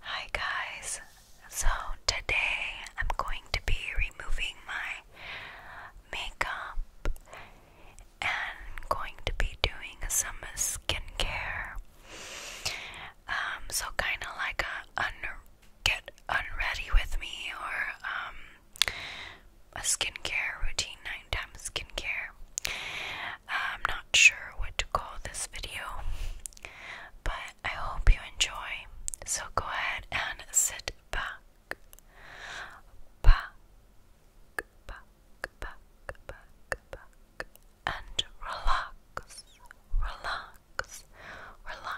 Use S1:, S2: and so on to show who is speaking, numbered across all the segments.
S1: Hi guys, so today I'm going to be removing my makeup and going to be doing some skincare. Um, so kind of like a get unready with me or um, a skincare routine, nine times skincare. I'm not sure what to call this video, but I hope you enjoy. So go ahead and sit back, back, back, back, back, back, and relax, relax, relax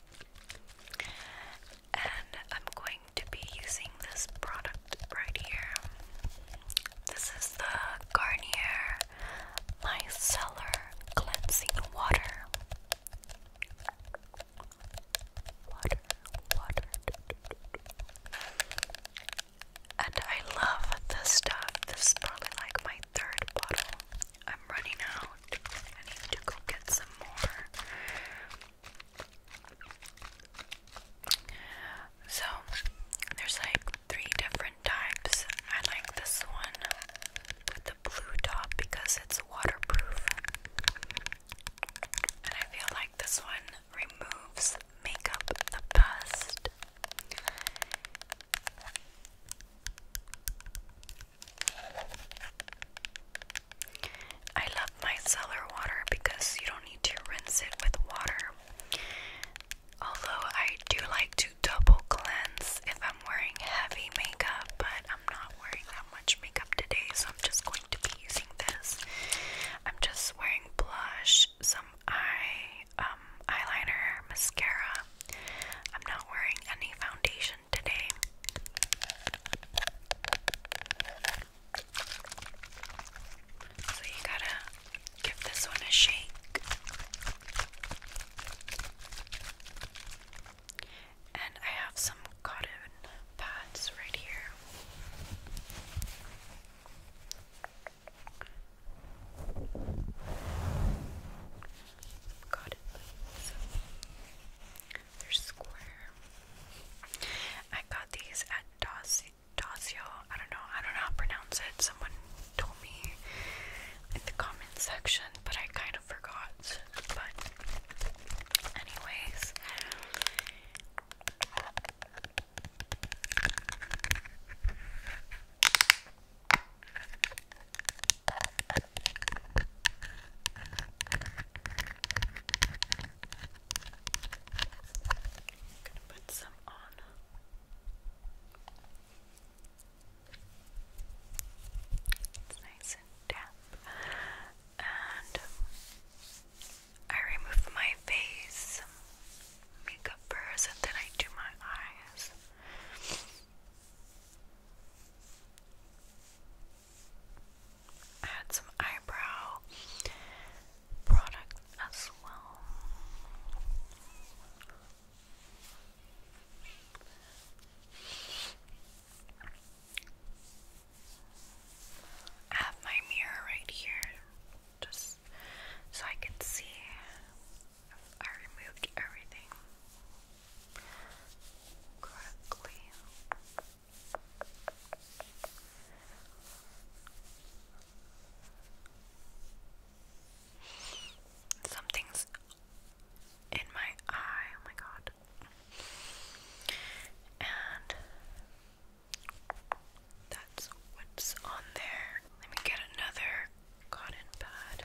S1: and I'm going to be using this product right here. This is the Garnier Micellar Cleansing Water. Water, water. And I love this stuff. This is probably like my third bottle. I'm running out. I need to go get some more. So, there's like three different types. I like this one with the blue top because it's waterproof. And I feel like this one removes makeup the best. I love my cellar water because you don't need to rinse it with water. Although I do like to double cleanse if I'm wearing heavy makeup, but I'm not wearing that much makeup today, so I'm just going to be using this. I'm just wearing blush, some eye um, eyeliner, mascara. I'm not wearing any foundation so you gotta give this one a shake. And I have some cotton pads right here cotton balls. They're square. I got these at Dacio. I don't know. I don't know how to pronounce it. Someone told me in the comment section, but I kind of forgot. But anyways gonna put some on. It's nice and damp. And I remove my face makeup first and then I do my eyes. I some eyebrow product as well. have my mirror right here just so I can see if I removed everything. Something's in my eye, oh my god. And that's what's on there. Let me get another cotton pad.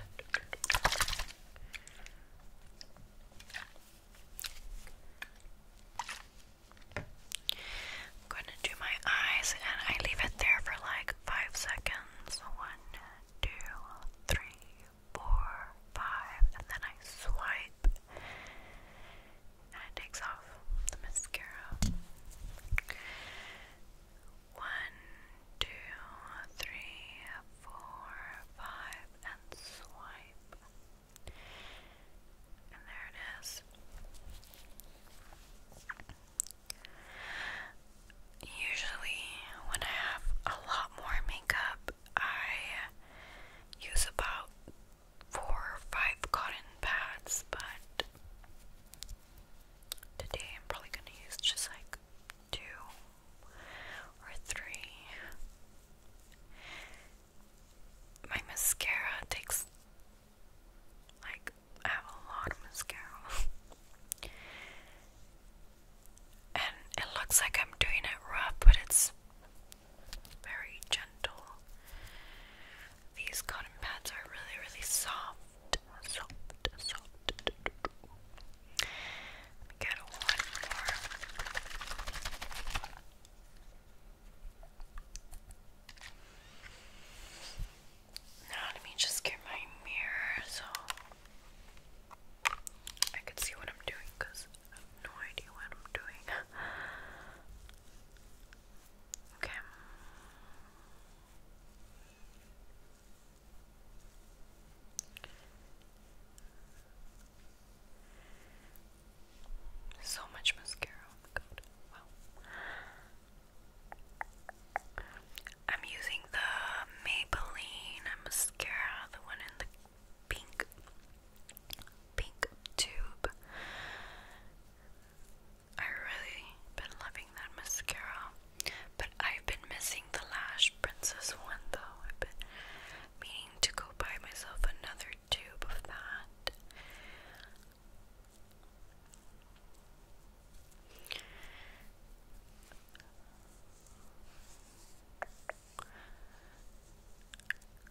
S1: I'm going to do my eyes and I leave it there for like five seconds. One, two, three, four, five, and then I swipe and takes off the mascara. One, two, three, four, five, and swipe. And there it is. Usually, when I have a lot more makeup, I use about four or five cotton pads, but today I'm probably going to use just like two or three. My mascara takes like I have a lot of mascara. and it looks like I'm doing it rough, but it's very gentle. These cotton pads are really, really soft. Soft, soft get one more. Now let me just get my mirror so I can see what I'm doing I have no idea what I'm doing. okay. So much mascara, oh I'm using the Maybelline mascara, the one in the pink pink tube. I really been loving that mascara. But I've been missing the Lash Princess one though. I've been meaning to go buy myself another tube of that.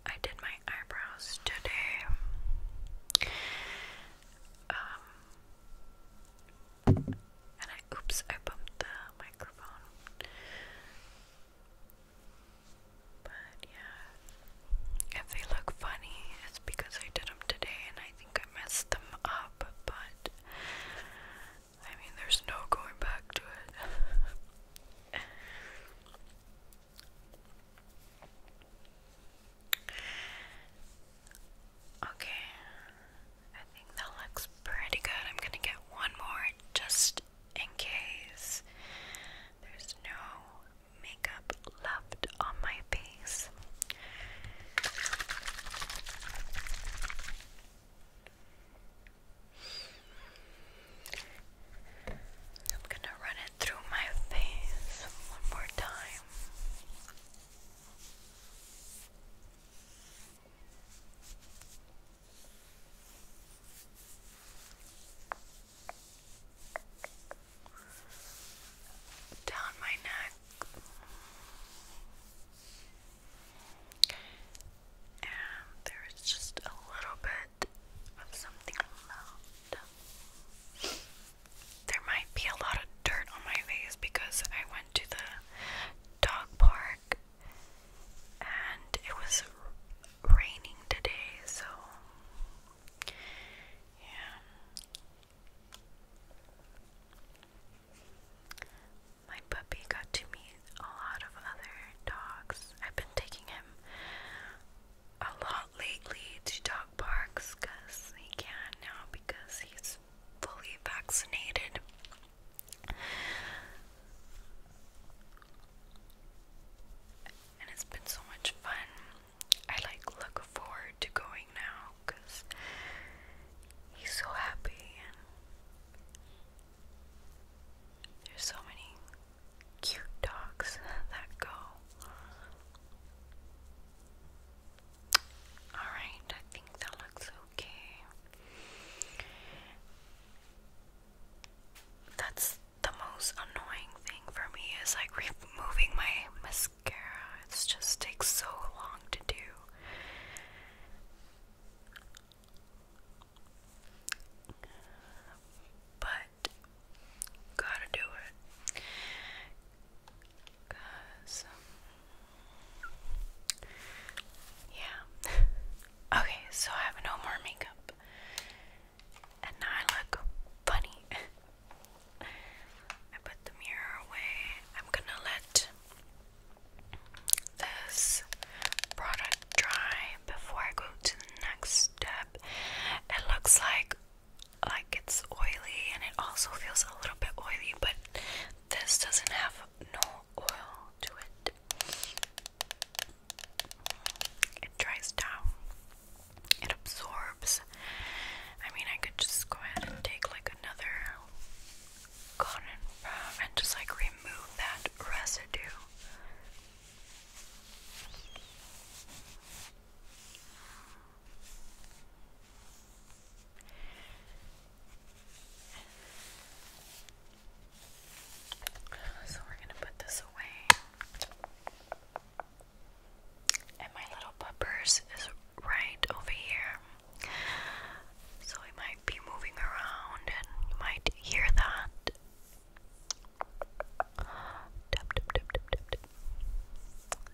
S1: I did my eyebrows today. Um, oops, I bumped the microphone. But yeah, if they look funny, it's because I did them today and I think I messed them up, but I mean, there's no going back to it. okay, I think that looks pretty good. I'm gonna get one more just in case there's no makeup left on my face. I'm gonna run it through my face one more time down my neck and there is just a little bit of something left. There might be a lot of dirt on my face because I went to the dog park, and it was raining today, so yeah. My puppy got to meet a lot of other dogs. I've been taking him a lot lately to dog parks because he can now because he's fully vaccinated. And it's been so much fun. I like look forward to going now because he's so happy and there's so many cute dogs that go. Alright, I think that looks okay. That's the most annoying thing for me is like removing my mascara. It just takes so long to do. But gotta do it. Cause yeah. okay, so I have no more makeup. And now I look funny. I put the mirror away. I'm gonna let this product dry before I go to the next step. It looks like like it's oily and it also feels a little bit oily, but this doesn't have no oil to it. It dries down. It absorbs. I mean, I could just go ahead and take like another cotton pad and just like remove that residue. So we're going to put this away. And my little puppers is right over here. So I might be moving around and you might hear that.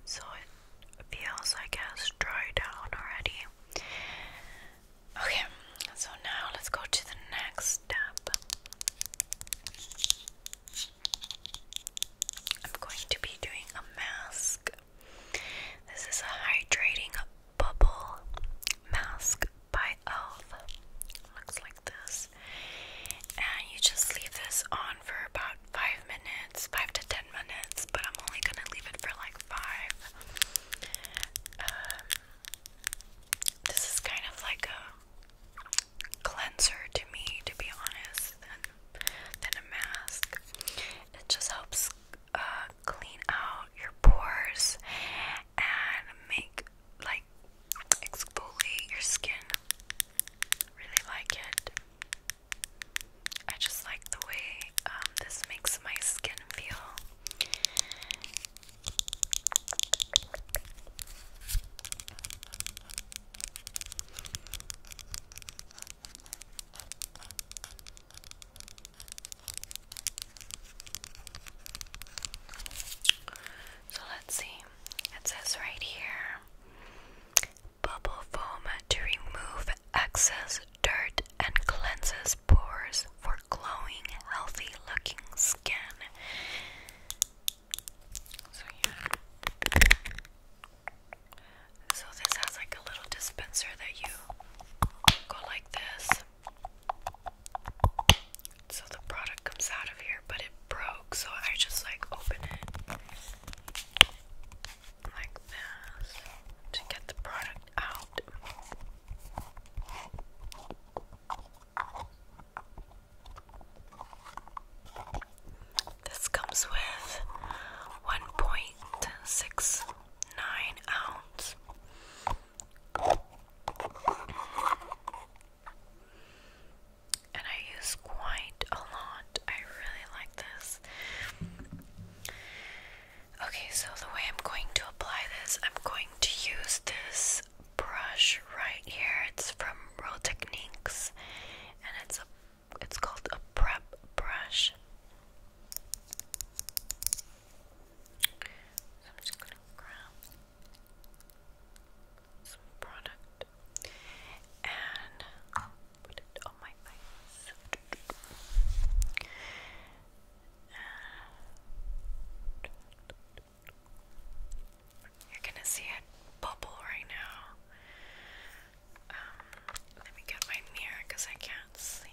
S1: So it feels, I guess, dry down already. Okay, so now let's go to the next step. I'm going to be doing a mask. This is a hydrating bubble mask by e.l.f. Looks like this. And you just leave this on for about 5 minutes, 5 to 10 minutes, but I'm only gonna leave it for like 5. Um, this is kind of like a cleanser to me, to be honest, than, a mask. It just helps uh, clean out your pores and make like exfoliate your skin. Really like it. I just like the way um, this makes my skin feel. So let's see. It says right here bubble foam to remove excess dirt and cleanses pores for glowing, healthy looking skin. So, this has like a little dispenser that you go like this. So, the product comes out of here, but it broke, so I just like open it like this to get the product out. This comes with 1.69 ounces, And I use quite a lot. I really like this. Okay, so the way I'm going to apply this, I'm going to use this brush right here. It's from Row Techniques, and it's a it's called a prep brush. I'm just gonna grab some product and put it on my face. You're gonna see a bubble right now. Um, let me get my mirror because I can't see.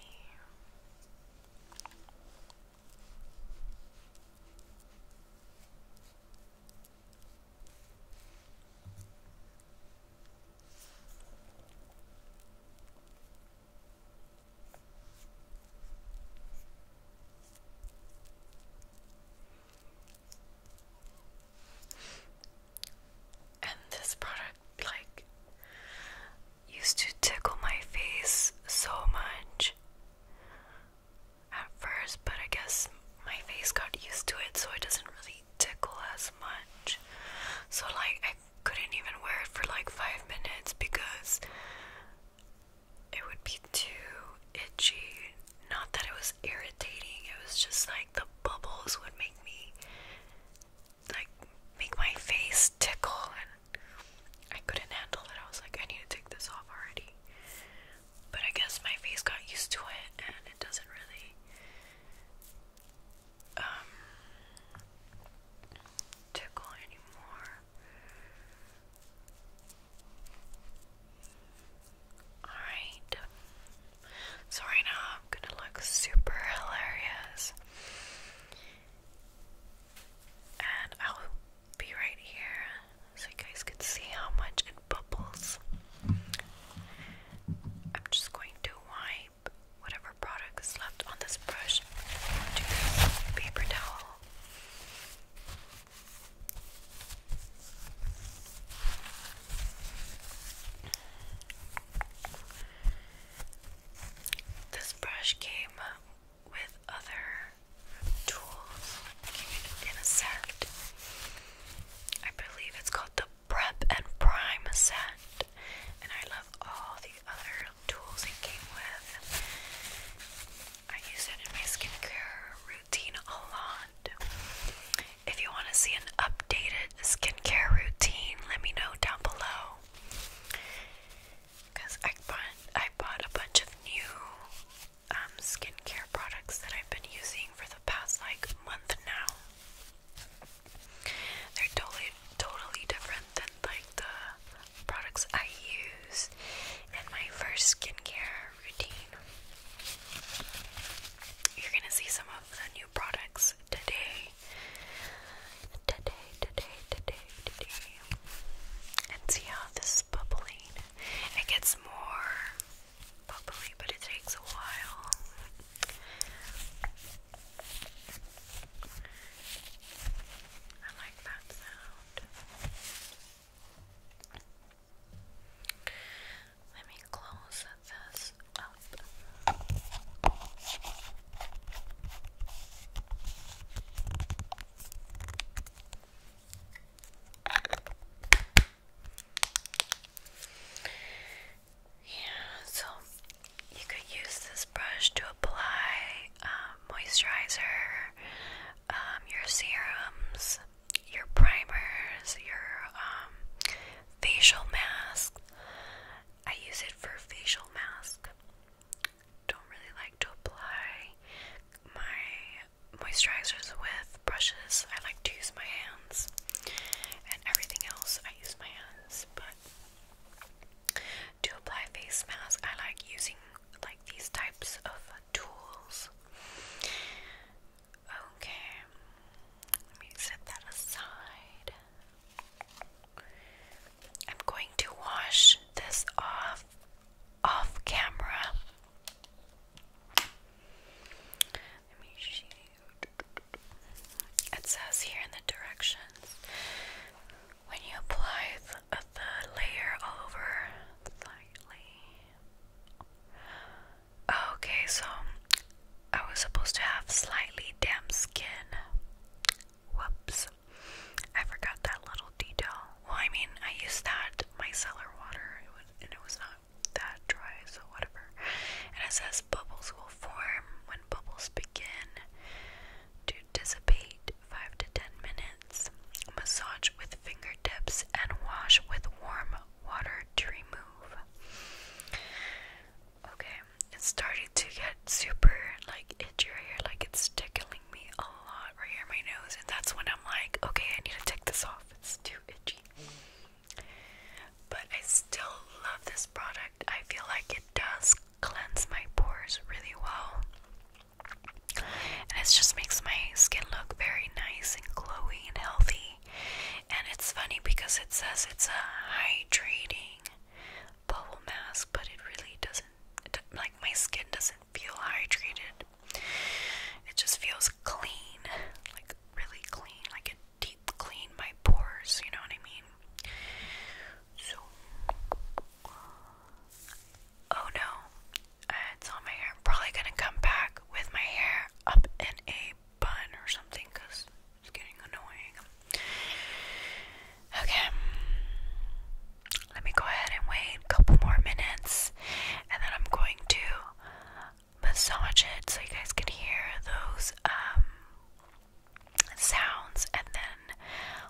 S1: And this product, like, used to tickle my face so much at first, but I guess my face got used to it, so it doesn't really tickle as much. So, like, couldn't even wear it for like five minutes because it would be too itchy. Not that it was irritating, it was just like the bubbles would make me like make my face tickle and I couldn't handle it. I was like, I need to take this off already. But I guess my face got used to it and it doesn't really um, tickle anymore. Alright, so now I'm gonna look super hilarious. And I'll be right here so you guys can see how much it bubbles. I'm just going to wipe whatever product left on this brush onto this paper towel. This brush came with other tools in a set. I believe it's called the prep and prime set, and I love all the other tools it came with. I use it in my skincare routine a lot. If you want to see an updated skincare routine, let me know down below. Because I bought, I bought a bunch of new um, skincare products that I've been using for the past like month now. They're totally totally different than like the products I use in my first skincare routine. You're gonna see some of the new products today. Today, today, today, today. And see how this is bubbling. It gets more bubbly, but it takes a while. I like that sound. Let me close this up. Yeah, so you could use this brush to apply um, moisturizer, um, your serums, your primers, your um, facial mask. I use it for facial mask. Don't really like to apply my moisturizers with brushes. I like to use my hands, and everything else I use my hands, but. To apply face mask, I like using like these types of tools. Okay, let me set that aside. I'm going to wash this off off camera. Let me see. It says here in the directions when you apply uh, the, layer over slightly. Okay, so I was supposed to have slightly damp skin. Whoops. I forgot that little detail. Well, I mean, I used that micellar water, and it was not that dry, so whatever. And it says bubbles will form when bubbles begin to dissipate, 5 to 10 minutes. Massage with fingertips and wash with warm water to remove. Okay, it's starting to get super like itchy here, like it's tickling me a lot right here in my nose, and that's when I'm like, okay, I need to take this off. It's too itchy but I still love this product. I feel like it does cleanse my pores really well. And it just makes my skin look very nice and glowy and healthy. And it's funny because it says it's a hydrating bubble mask, but it really doesn't, like, my skin doesn't feel hydrated. It just feels clean, like, really clean, like it clean my pores, you know what I mean? So Oh no. Uh, on my hair. am probably gonna come back with my hair up in a bun or something because it's getting annoying. Okay. Let me go ahead and wait a couple more minutes and then I'm going to massage it so you guys can hear those um, sounds and then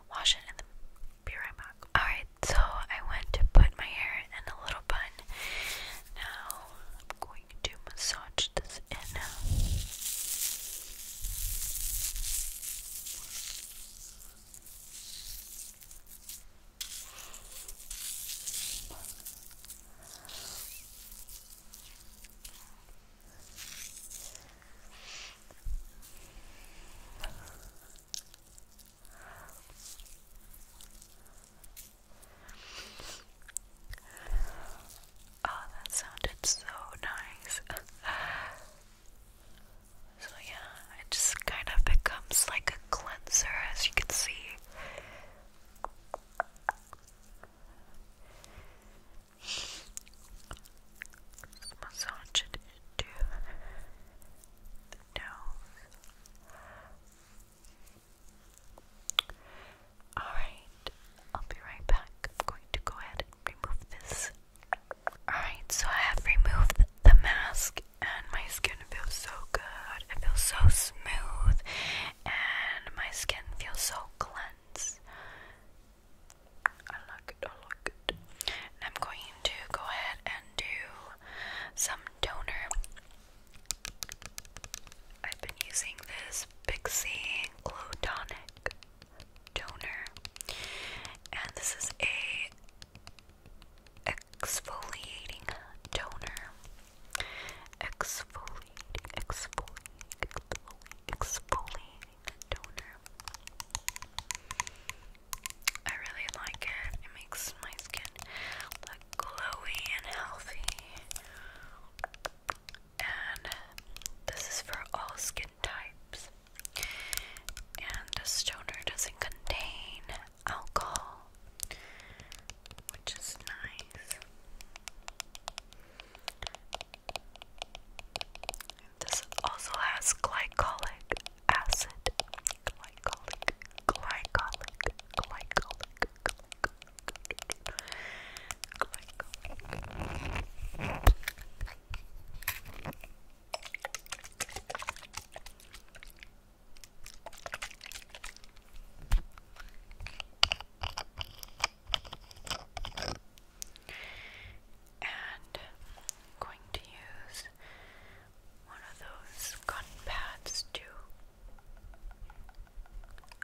S1: wash it and then be right back. Alright, so I went to put my hair in a little bun. Now I'm going to massage this in. Oh, that sounded so nice. so, yeah, it just kind of becomes like a cleanser, as you can see massage it into the nose. Alright, I'll be right back. I'm going to go ahead and remove this. Alright, so I have removed the mask and my skin feels so good. It feels so smooth and my skin feels so clean. I like it, I like it. I'm going to go ahead and do some toner. I've been using this Pixie Glow Tonic toner, and this is a exfoliating toner. Exfoliating exfoliating, toner. I really like it. It makes my skin look glowy and healthy. And this is for all skin types. And this toner doesn't contain alcohol, which is nice. This also has glycolic acid. Glycolic, glycolic, glycolic, glycolic. glycolic. And I'm going to use one of those cotton pads to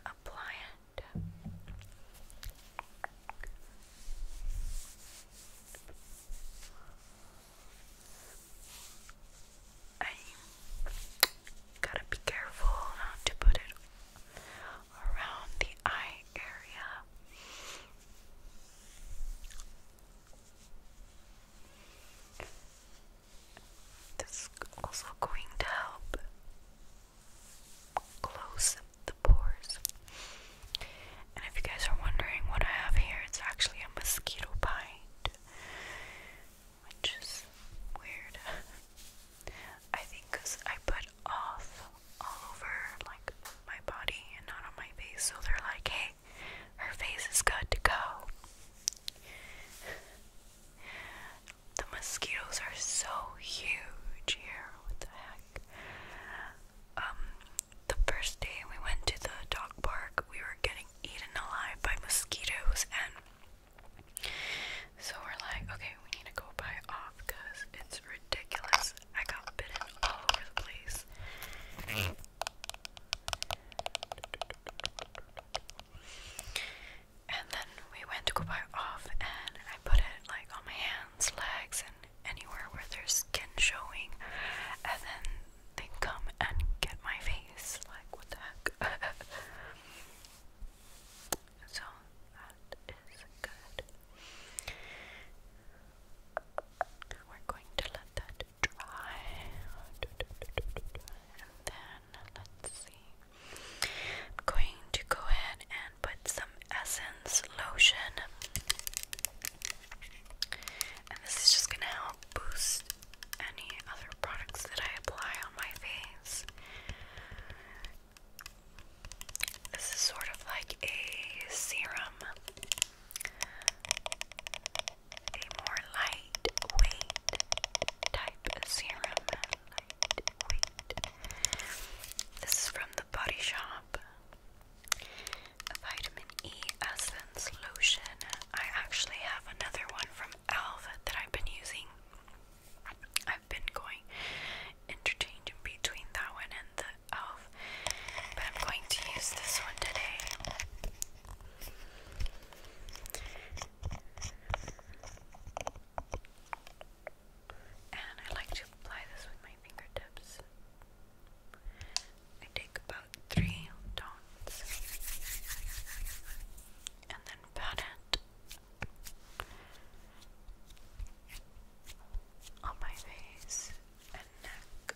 S1: apply it. I gotta be careful not to put it around the eye area. This is also going to help close the pores. And if you guys are wondering what I have here, it's actually a mosquito bite, which is weird. I think I put off all over like my body and not on my face, so they're like, hey, her face is good to go. the mosquitoes are so huge here. What the heck? Um, the first day we went to the dog park, we were getting eaten alive by mosquitoes, and so we're like, okay, we need to go buy off because it's ridiculous. I got bitten all over the place. And then we went to go buy off, and I put it like on my hands, legs, and anywhere where there's skin showing. And then they come and get my face. Like, what the heck? so that is good. We're going to let that dry, and then let's see. I'm going to go ahead and put some essence lotion, and this is just gonna help boost any other products that I apply on my face. This is sort of like a serum, a more lightweight type of serum. This is from the Body Shop. A vitamin E essence lotion. I actually have another one from Alva that I've been using i been going interchanging between that one and the elf, but I'm going to use this one today. And I like to apply this with my fingertips. I take about three dots and then pat it on my face and neck.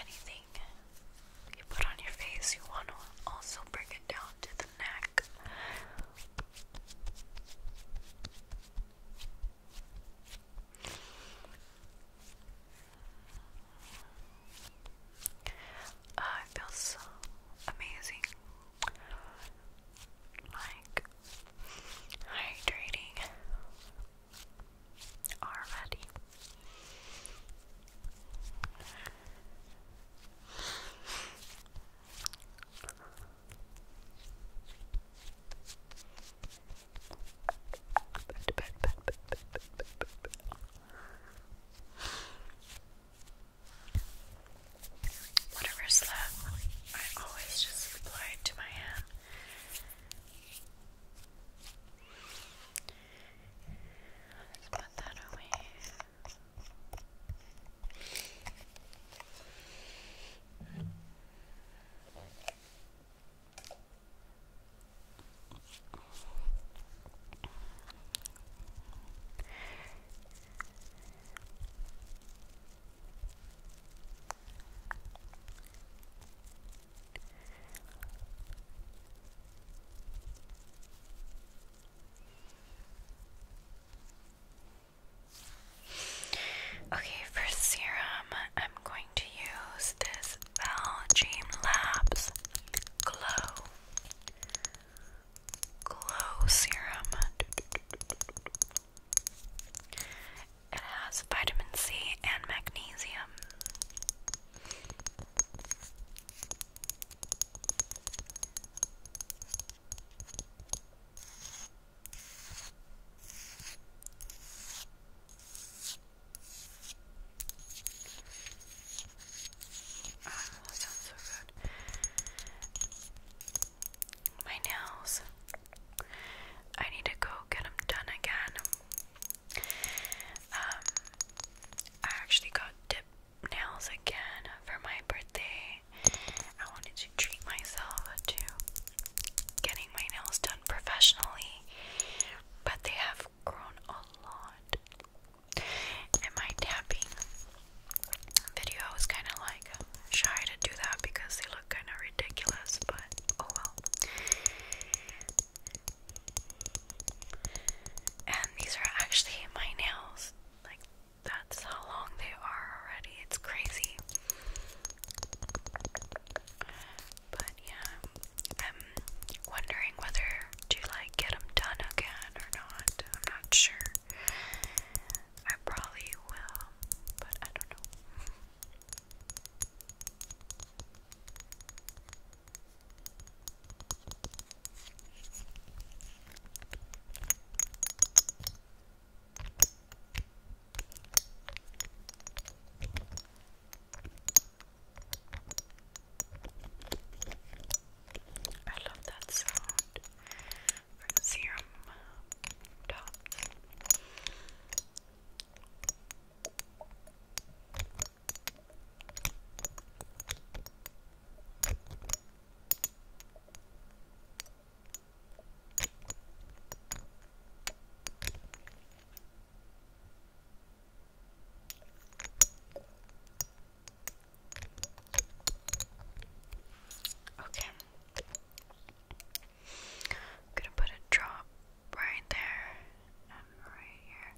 S1: Anything you put on your face, you want to also bring it down to the neck. Uh, it feels amazing like hydrating already. Whatever's left, I always just apply it to my hand. Let's put that away. Okay, for serum, I'm going to use this Valjean Labs Glow Glow Serum. It has vitamin C and magnesium. Oh, my nails. I need to go get them done again. Um, I actually got dip nails again for my birthday. I wanted to treat myself to getting my nails done professionally, but they have grown a lot. And my tapping video, I was kind of like shy to do that because they look kind of ridiculous, but oh well. And these are actually my nails. Like, that's how long they are already. It's crazy. But yeah, I'm wondering whether to like get them done again or not. I'm not sure. I probably will, but I don't know. I love that sound from serum tops. Okay. I'm gonna put a drop right there and right here.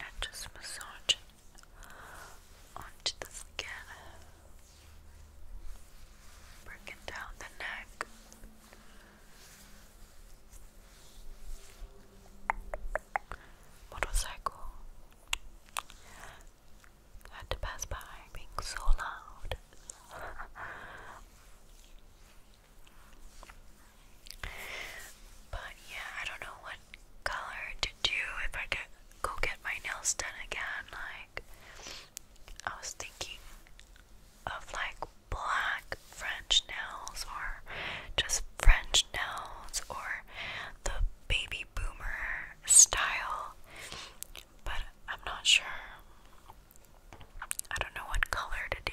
S1: And just massage onto the skin. Breaking down the neck. Motorcycle had to pass by being so loud. but yeah, I don't know what color to do if I go get my nails done again. Like I was thinking of like black French nails or just French nails or the baby boomer style, but I'm not sure. I don't know what color to do.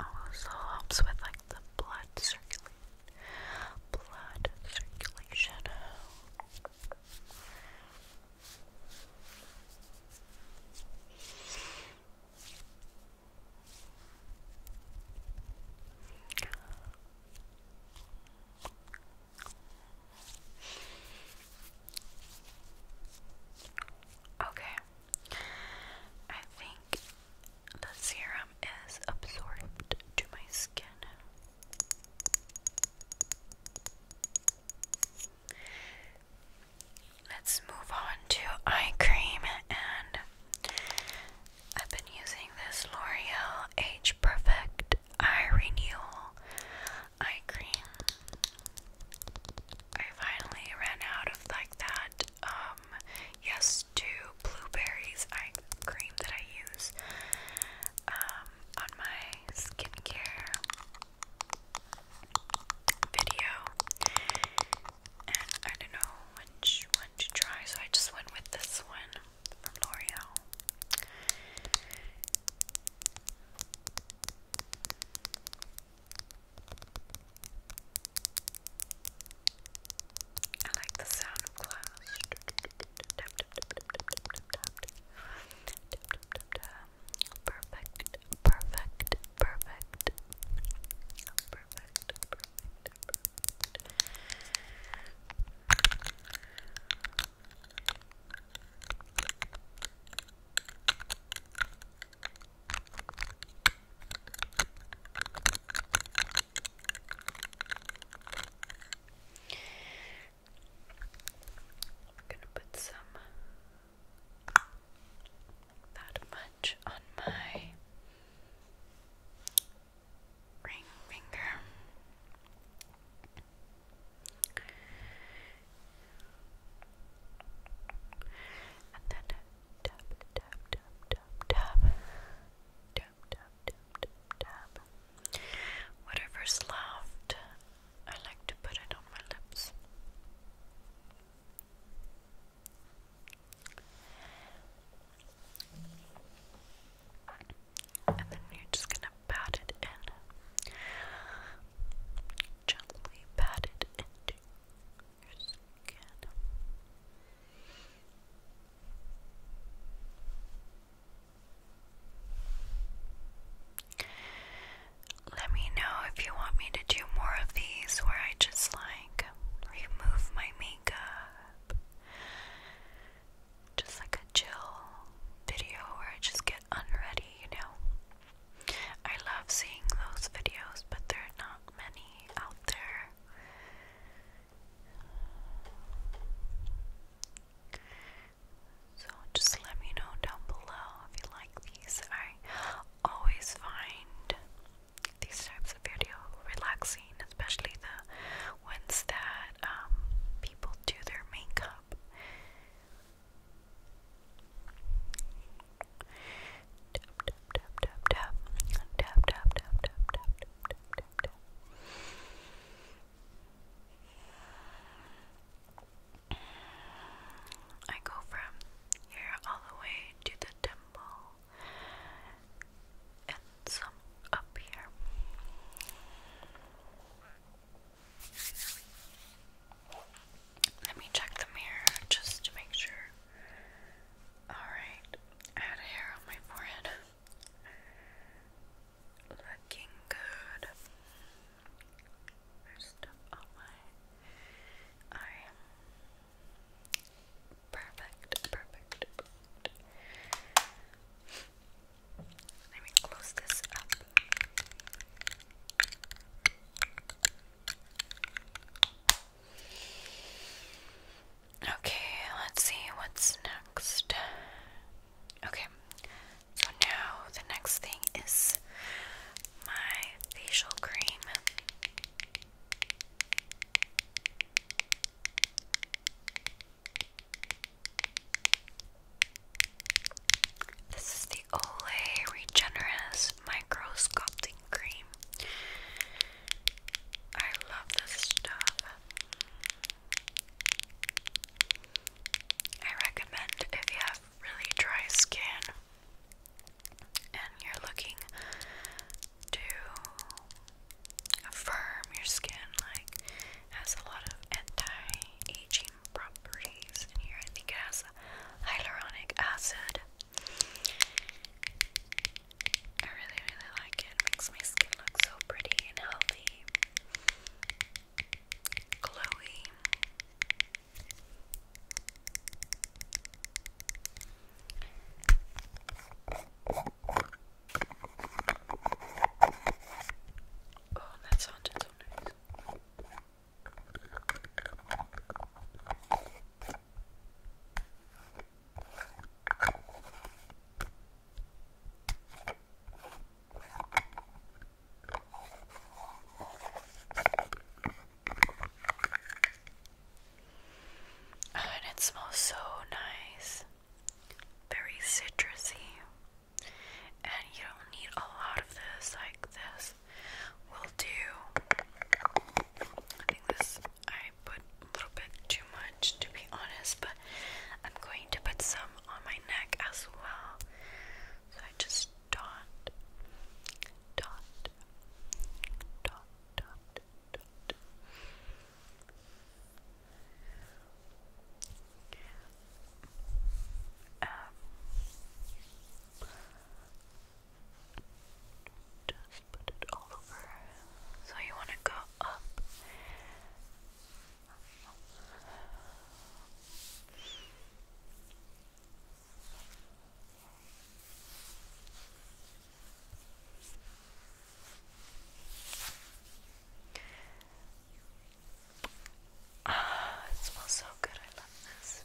S1: Also helps with like the blood circulation, blood circulation. Okay, I think the serum is absorbed to my skin. Let's move on to eye cream, and I've been using this L'Oreal Age Perfect Eye Renewal Eye Cream. I finally ran out of like that um, yes to blueberries eye cream that I use um, on my skincare video and I don't know which one to try so I just went with this one from L'Oreal I like the sound of glass. Perfect, perfect, perfect, perfect, perfect. Perfect. I'm gonna put some that much on my ring finger. And then tap, tap, tap, tap, tap. Tap, tap, tap, tap, tap. Whatever's left, I like to put it on my lips. And then you're just gonna pat it in. Gently pat it in. Let me know if you want me to do more of these where I just like remove my makeup. Just like a chill video where I just get unready, you know? I love seeing those videos, but there are not many out there. So just let me know down below if you like these. I always find these types of video relaxing, especially the ones that um, people do their makeup. I go from here all the way to the temple and some up here. Let me check the mirror just to make sure. Alright, I had hair on my forehead. Looking good. There's stuff on my eye. perfect, perfect. Let me close this up. Okay, let's see what's next. Okay, so now the next thing is my facial cream. This is the Olay Regenerous Micro Sculpting Cream. I love this stuff. I recommend if you have really dry skin and you're looking to firm your skin, like has a lot of anti-aging properties in here. I think it has hyaluronic acid. I really, really like it. Makes my skin look so pretty and healthy, glowy. Oh, that sounded so nice. Oh, and it smells so nice, very citrusy, and you don't need a lot of this like this will do. I think this I put a little bit too much to be honest, but I'm going to put some on my neck as well. So I just dot, dot, dot, dot, dot. Um, just put it all over. So you want to go up. Ah, it smells so good. I love this.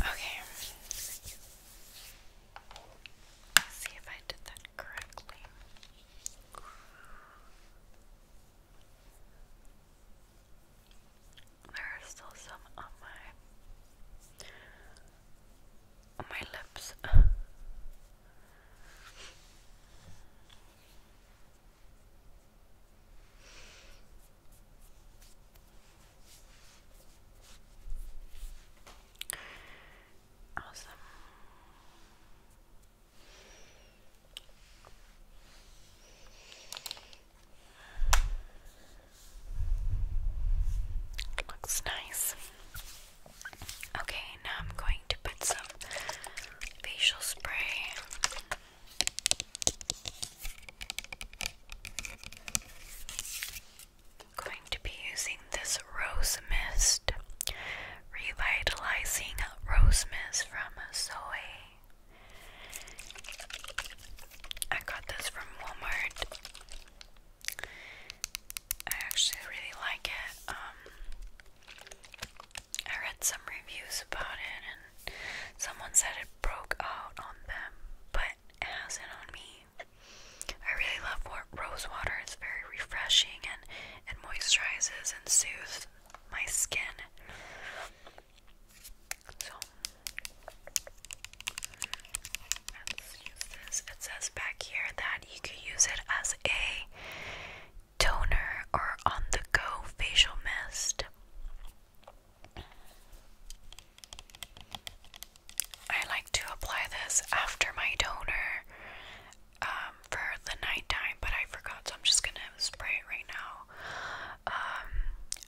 S1: Okay. Let's see if I did that correctly. There are still some on my my lips. awesome looks nice. Okay, now I'm going to put some facial spray. going to be using this rose mist. Revitalizing Rose Mist from Zoe. I got this from Walmart. I actually really like it. Um, I read some reviews about it, and someone said it broke out on them, but it hasn't on me. I really love rose water. It's very refreshing and it moisturizes and soothes my skin. So let's use this. It says back here that you could use it as a toner or on the go facial mist. I like to apply this after my toner um, for the nighttime, but I forgot, so I'm just gonna spray it right now um,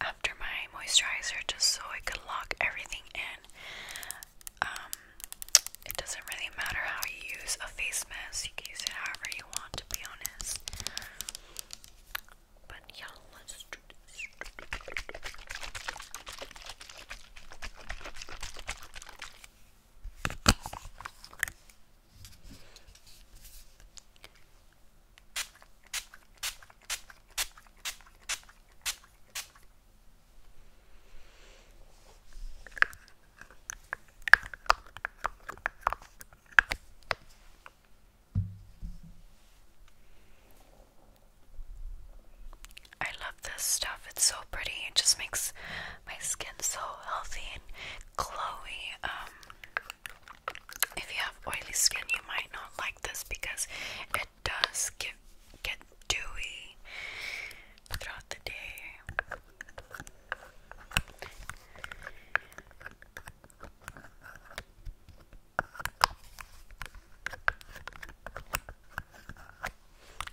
S1: after my moisturizer just so it could lock everything in. Um, it doesn't really matter how you use a face mask, you can use it however you want, be honest. But yeah, let's do this. I love this stuff. It's so pretty. It just makes my skin so healthy and Chloe, um, if you have oily skin, you might not like this because it does get get dewy throughout the day.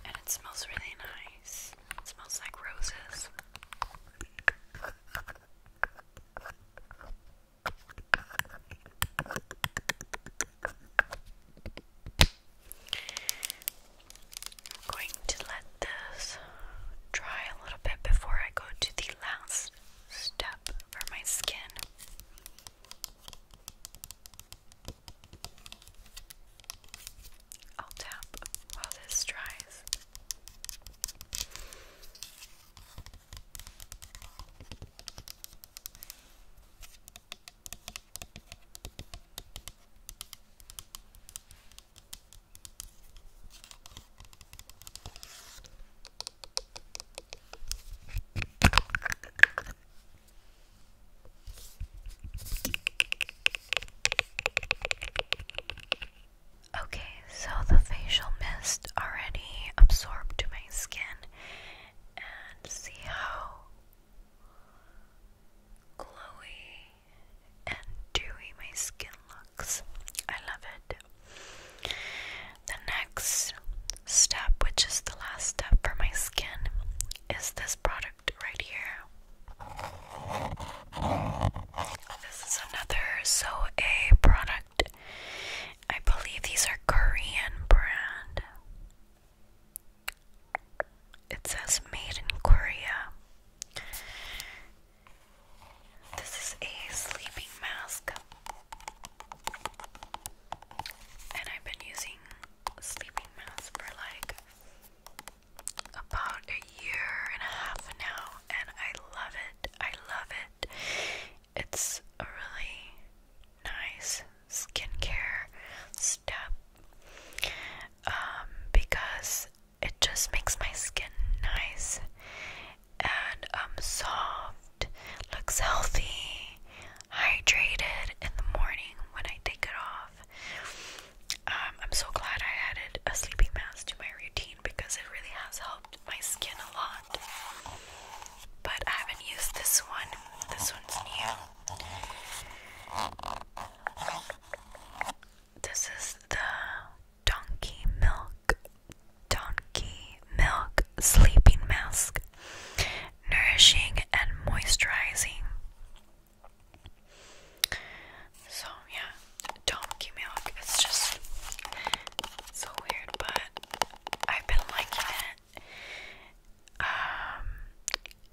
S1: And it smells really nice. It smells like roses. I'm going to let this dry a little bit before I go to the last step for my skin. I'll tap while this dries. Okay, so the facial mist already absorbed to my skin, and see how glowy and dewy my skin looks. I love it. The next step, which is the last step for my skin, is this product right here. This is another So product. I believe these are Korean brand. It says made in Korea. This is a sleeping mask. And I've been using sleeping mask for like about a year and a half now, and I love it. I love it. It's a really nice skincare step um, because it just makes my skin nice and um, soft, looks healthy, hydrated in the morning when I take it off. Um, I'm so glad I added a sleeping mask to my routine because it really has helped my skin a lot. But I haven't used this one, this one's new. This is the Donkey Milk, Donkey Milk Sleeping Mask. Nourishing and moisturizing. So yeah, Milk. It's just so weird, but I've been liking it. Um,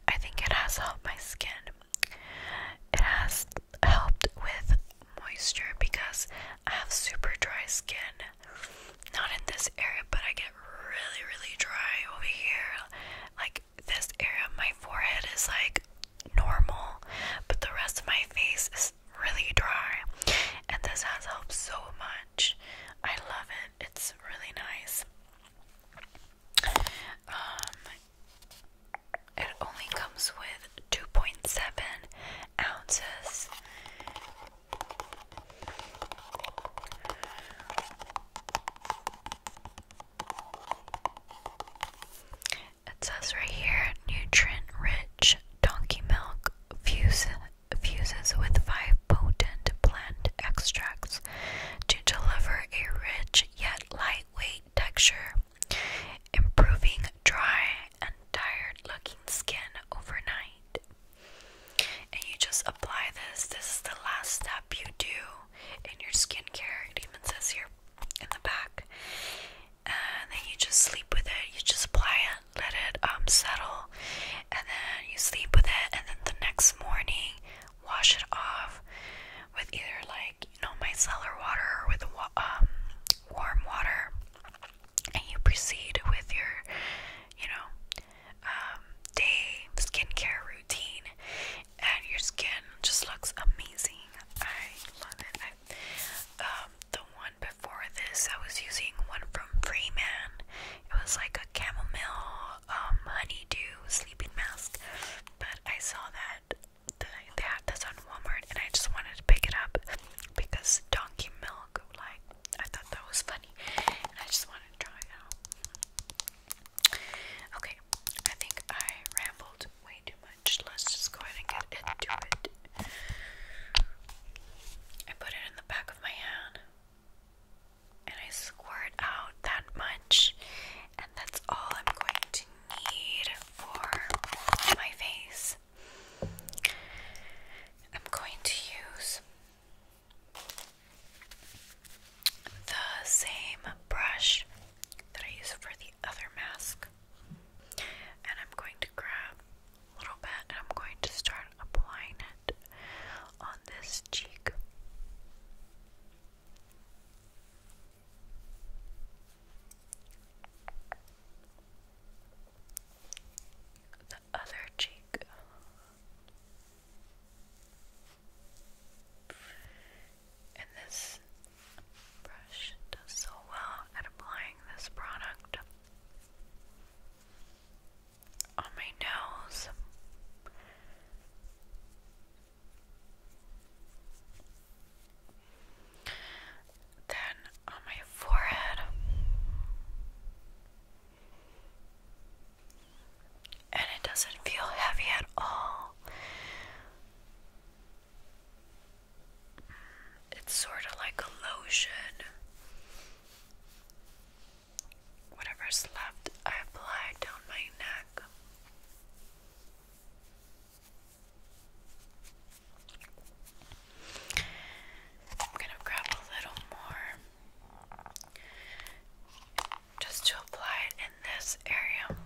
S1: I think it has helped my skin. It has helped with moisture because I have super dry skin. Not in this area, but I get really, really dry over here. Like this area of my forehead is like normal, but the rest of my face is really dry, and this has helped so much. I love it, it's really nice. Um, it only comes with 2.7 ounces. It says right here nutrient rich donkey milk fuse, fuses with five potent plant extracts to deliver a rich yet lightweight texture, improving dry and tired looking skin overnight. And you just apply this. This is the last step you do in your skincare. It even says here in the back. And then you just sleep with it. You just apply it, let it um, settle, and then you sleep with it. And then the next morning, wash it off with either like you know micellar water or with wa um, warm water. And you proceed with your, you know, um, day skincare routine and your skin just looks amazing. I love it. Um, the one before this, I was using one from Freeman. It was like a chamomile um, honeydew sleeping mask, but I saw that they had on Walmart, and I just wanted to pick it up because donkey milk. Like I thought that was funny, and I just wanted to try it out. Okay, I think I rambled way too much. Let's just go ahead and get into it. I put it in the back of my hand and I squirt out that much, and that's all I'm going to need for my face. I'm going to use the same brush that I use for the other mask. And I'm going to grab a little bit and I'm going to start applying it on this cheek. The other cheek. And this brush does so well at applying this product on my nose. Then on my forehead and it doesn't feel heavy at all. It's sort of like a lotion. Whatever's left, I apply down my neck. I'm going to grab a little more just to apply it in this area.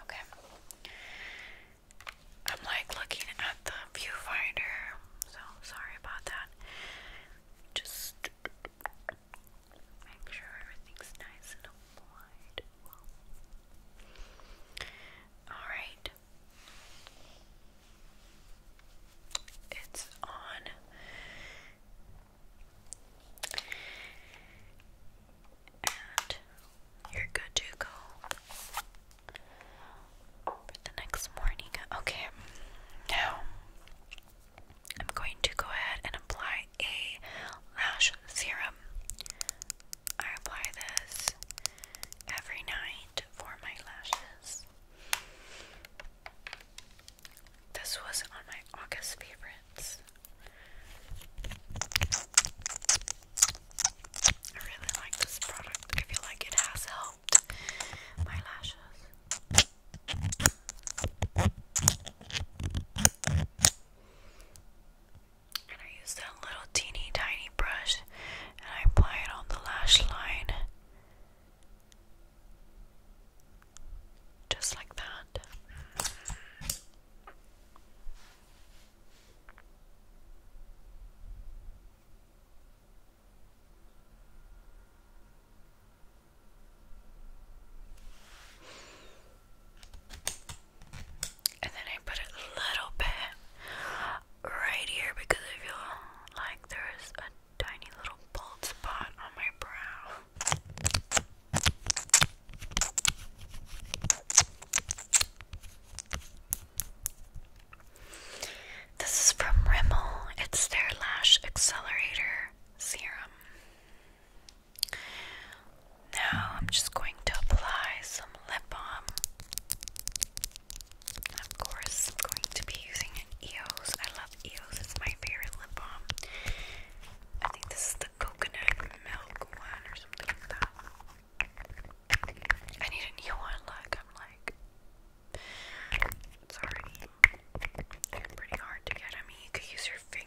S1: Okay. I'm like looking at the viewfinder, so sorry about that. Just make sure everything's nice and Alright. It's on. And you're good to go for the next morning. Okay, now I'm going to go ahead and apply a lash serum. I apply this every night for my lashes. This was on my August favorites. I really like this product. I feel like it has helped my lashes. And I use that little teeny tiny brush and I apply it on the lash line. Just like that. And then I put a little bit right here because I feel like there's a tiny little bald spot on my brow. This is from Rimmel. It's their Lash Accelerator Serum. Now I'm just going to apply some lip balm. of course, I'm going to be using an EOS. I love EOS, it's my favorite lip balm. I think this is the coconut milk one or something like that. I need a new one, look, I'm like, it's already, pretty hard to get. I mean, you could use your finger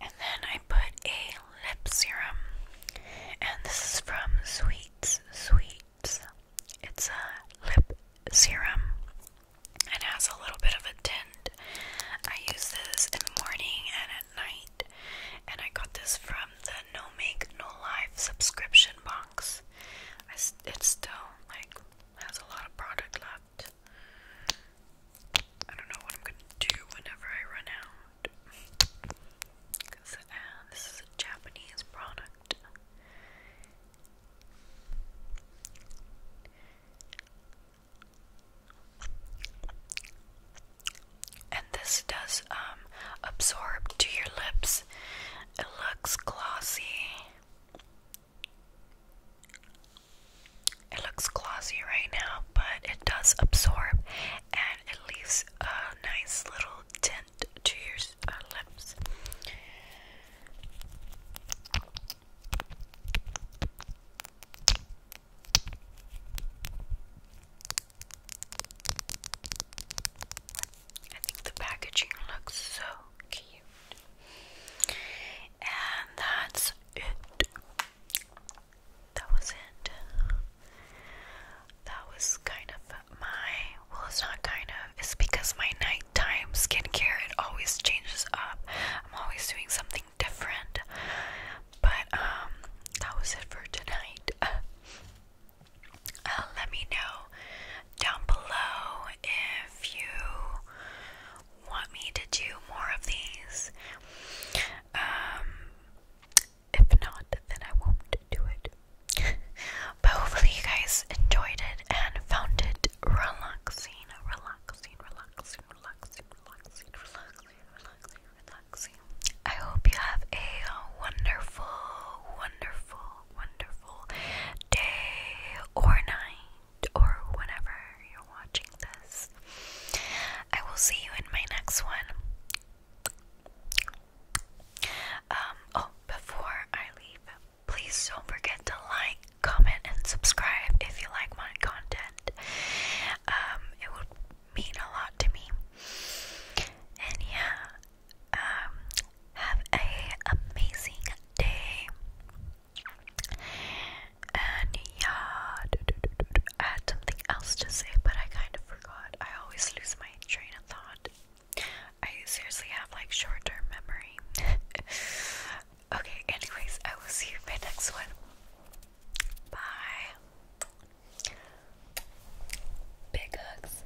S1: And then I put a lip serum, and this is from Sweets Sweets. It's a lip serum and has a little bit of a tint. I use this in the morning and at night, and I got this from the No Make No Life subscription box. I, it's still like has a lot of product left. I don't know what I'm gonna do whenever I run out. Cause uh, this is a Japanese product. And this does um, absorb to your lips it looks glossy. It looks glossy right now, but it does absorb and it leaves a nice little tint to your uh, lips. I think the packaging looks so cute. And that's it. That was it. That was kind of my well, it's not kind of. It's because my nighttime skincare it always changes up. I'm always doing something different. But um, that was it for tonight. Uh, let me know down below if you want me to do more of these. Um, if not, then I won't do it. but hopefully, you guys enjoyed it and found it relaxing, relaxing, relaxing, relaxing, relaxing, relaxing, relaxing, relaxing. I hope you have a wonderful, wonderful wonderful day or night or whenever you're watching this. I will see you in my next one. Um, oh, before I leave, please don't forget to like, comment, and subscribe if you like my content. Um, it would mean a lot to me. And yeah, um, have a amazing day and yeah I had something else to say but I kind of forgot I always lose my train of thought I seriously have like short term memory okay anyways I will see you in my next one bye big hugs